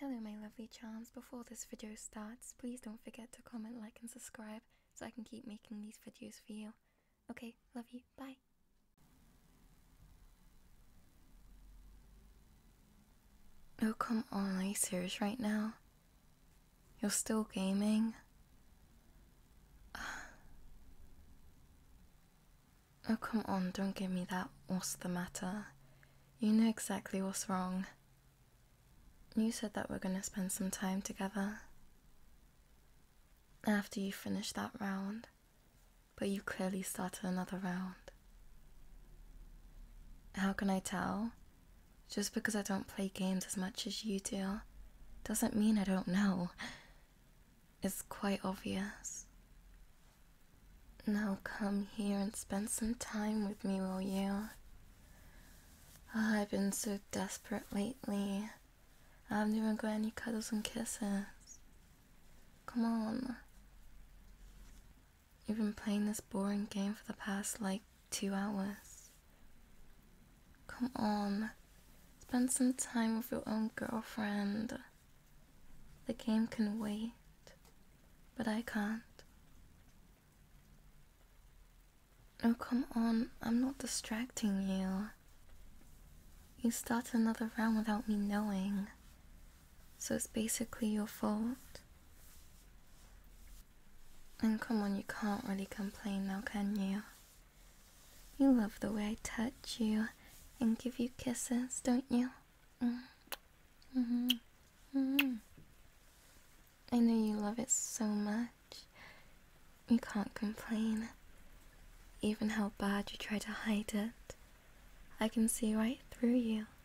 Hello my lovely charms, before this video starts, please don't forget to comment, like and subscribe so I can keep making these videos for you. Okay, love you, bye! Oh come on, are serious right now? You're still gaming? Oh come on, don't give me that, what's the matter? You know exactly what's wrong. You said that we're going to spend some time together after you finish that round, but you clearly started another round. How can I tell? Just because I don't play games as much as you do doesn't mean I don't know. It's quite obvious. Now come here and spend some time with me, will you? Ah, I've been so desperate lately. I haven't even got any cuddles and kisses. Come on. You've been playing this boring game for the past like two hours. Come on. Spend some time with your own girlfriend. The game can wait, but I can't. Oh, come on, I'm not distracting you. You start another round without me knowing, so it's basically your fault. And come on, you can't really complain now, can you? You love the way I touch you and give you kisses, don't you? Mm-hmm. Mm-hmm. Mm-hmm. I know you love it so much. You can't complain. Even how bad you try to hide it. I can see right through you.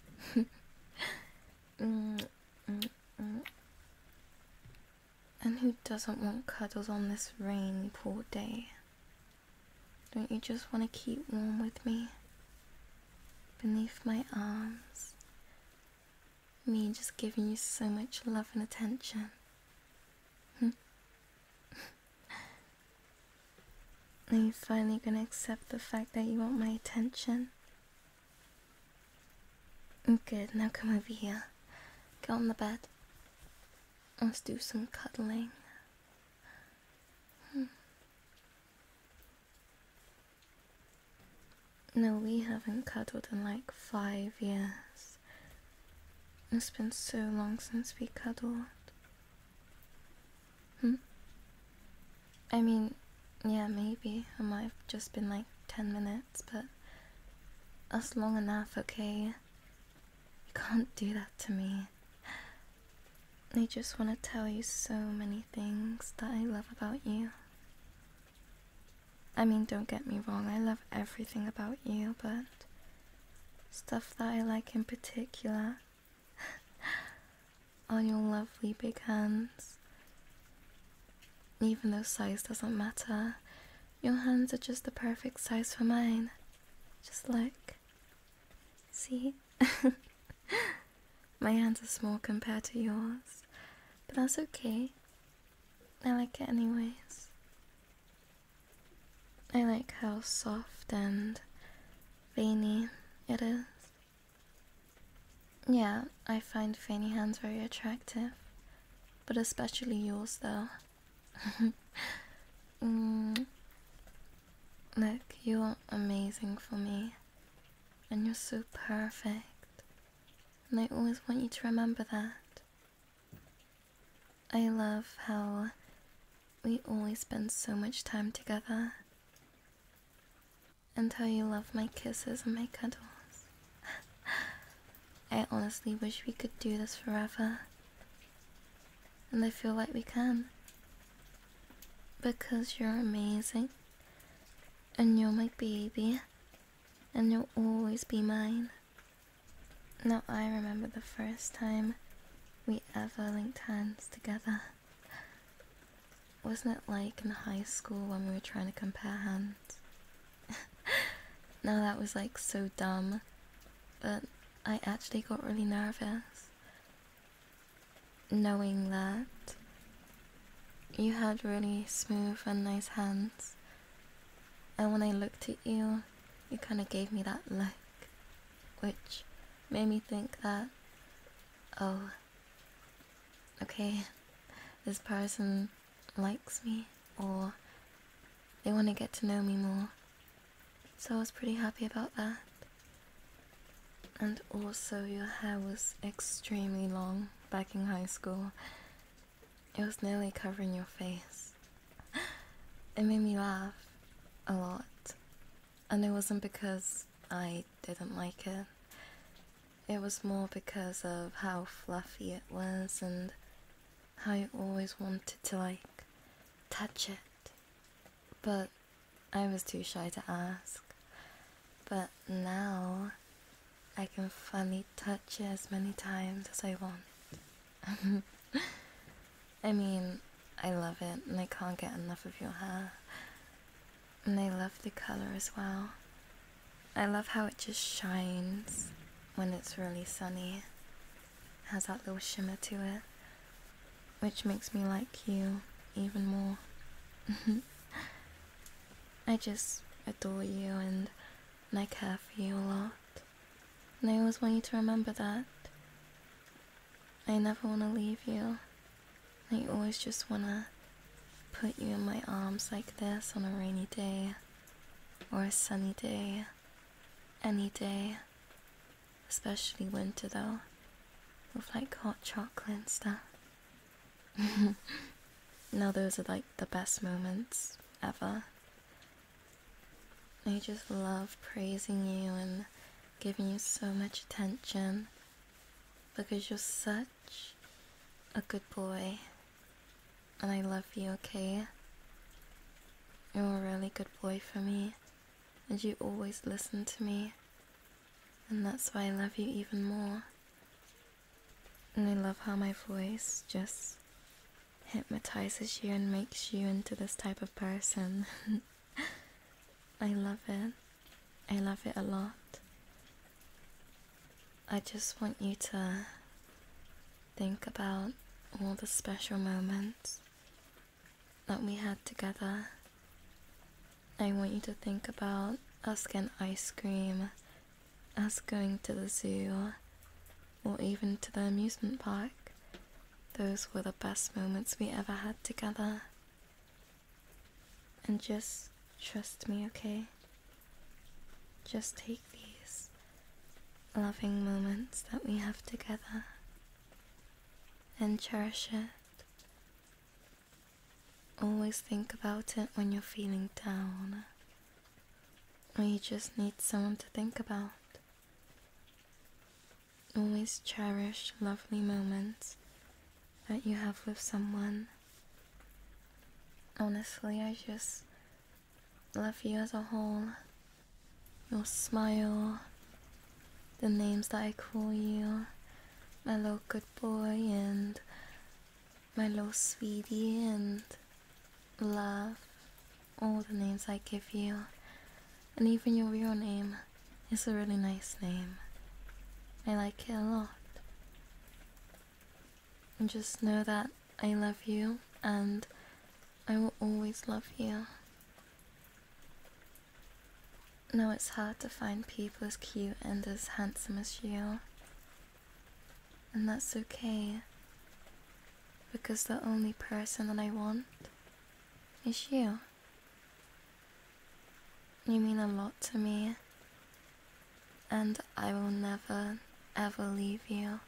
Mm, mm, mm. And who doesn't want cuddles on this rainy, poor day? Don't you just want to keep warm with me? Beneath my arms. Me just giving you so much love and attention. Hmm. Are you finally going to accept the fact that you want my attention? Oh, good, now come over here. Go on the bed. Let's do some cuddling. Hmm. No, we haven't cuddled in like five years. It's been so long since we cuddled. Hmm? I mean, yeah, maybe. I might have just been like 10 minutes, but that's long enough, okay? You can't do that to me. I just want to tell you so many things that I love about you. I mean, don't get me wrong, I love everything about you, but stuff that I like in particular are your lovely big hands. Even though size doesn't matter, your hands are just the perfect size for mine. Just look. See? My hands are small compared to yours, but that's okay. I like it anyways. I like how soft and feiny it is. Yeah, I find feiny hands very attractive, but especially yours though. mm. Look, you're amazing for me. And you're so perfect. And I always want you to remember that. I love how we always spend so much time together. And how you love my kisses and my cuddles. I honestly wish we could do this forever and I feel like we can. Because you're amazing, and you're my baby, and you'll always be mine. Now I remember the first time we ever linked hands together. Wasn't it like in high school when we were trying to compare hands? now that was like so dumb, but I actually got really nervous knowing that you had really smooth and nice hands. And when I looked at you, you kind of gave me that look, which made me think that, oh, okay, this person likes me, or they want to get to know me more, so I was pretty happy about that. And also, your hair was extremely long back in high school. It was nearly covering your face. It made me laugh a lot. And it wasn't because I didn't like it. It was more because of how fluffy it was and how I always wanted to like touch it. But I was too shy to ask, but now I can finally touch it as many times as I want. I mean, I love it and I can't get enough of your hair. And I love the color as well. I love how it just shines when it's really sunny. has that little shimmer to it which makes me like you even more. I just adore you and, I care for you a lot. And I always want you to remember that. I never want to leave you. I always just want to put you in my arms like this on a rainy day or a sunny day, any day, especially winter though, with like hot chocolate and stuff. now those are like the best moments ever. I just love praising you and giving you so much attention because you're such a good boy and I love you, okay? You're a really good boy for me and you always listen to me, and that's why I love you even more. And I love how my voice just hypnotizes you and makes you into this type of person. I love it. I love it a lot. I just want you to think about all the special moments that we had together. I want you to think about us getting ice cream, us going to the zoo, or even to the amusement park. Those were the best moments we ever had together. And just trust me, okay? Just take these loving moments that we have together and cherish it. Always think about it when you're feeling down. Or you just need someone to think about. Always cherish lovely moments that you have with someone. Honestly, I just love you as a whole your smile, the names that I call you, my little good boy and my little sweetie and love, all the names I give you, and even your real name it's a really nice name. I like it a lot. And just know that I love you and I will always love you. No, it's hard to find people as cute and as handsome as you. And that's okay. Because the only person that I want is you. You mean a lot to me. And I will never, ever leave you.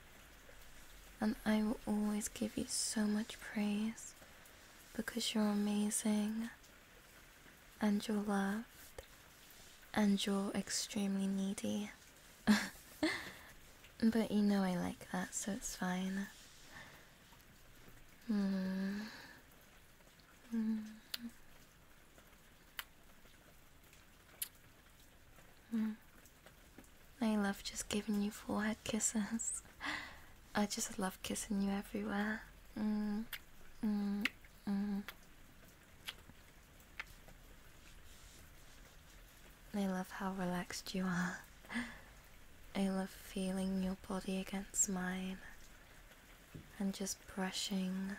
And I will always give you so much praise because you're amazing and you're loved and you're extremely needy. but you know I like that, so it's fine. Mm-hmm. Mm-hmm. Mm-hmm. I love just giving you forehead kisses. I just love kissing you everywhere. I mm, mm, mm. love how relaxed you are. I love feeling your body against mine and just brushing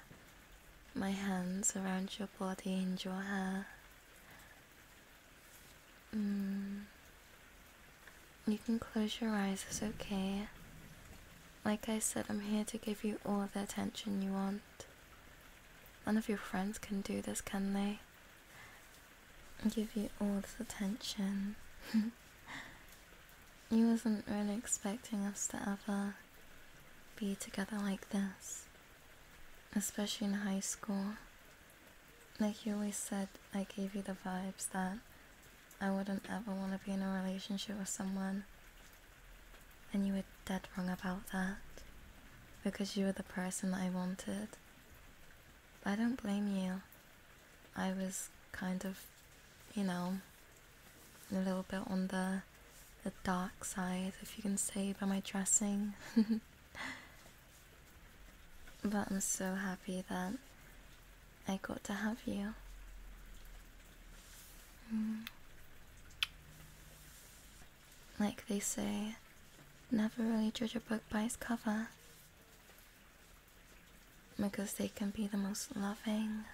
my hands around your body and your hair. Mm. You can close your eyes, it's okay. Like I said, I'm here to give you all the attention you want. None of your friends can do this, can they? Give you all this attention. you wasn't really expecting us to ever be together like this. Especially in high school like you always said, I gave you the vibes that I wouldn't ever want to be in a relationship with someone. And you were dead wrong about that. Because you were the person I wanted. I don't blame you. I was kind of, you know, a little bit on the, the dark side, if you can say, by my dressing. But I'm so happy that I got to have you. Mm. Like they say, never really judge a book by its cover. Because they can be the most loving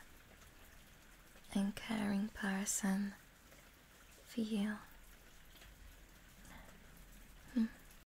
and caring person for you.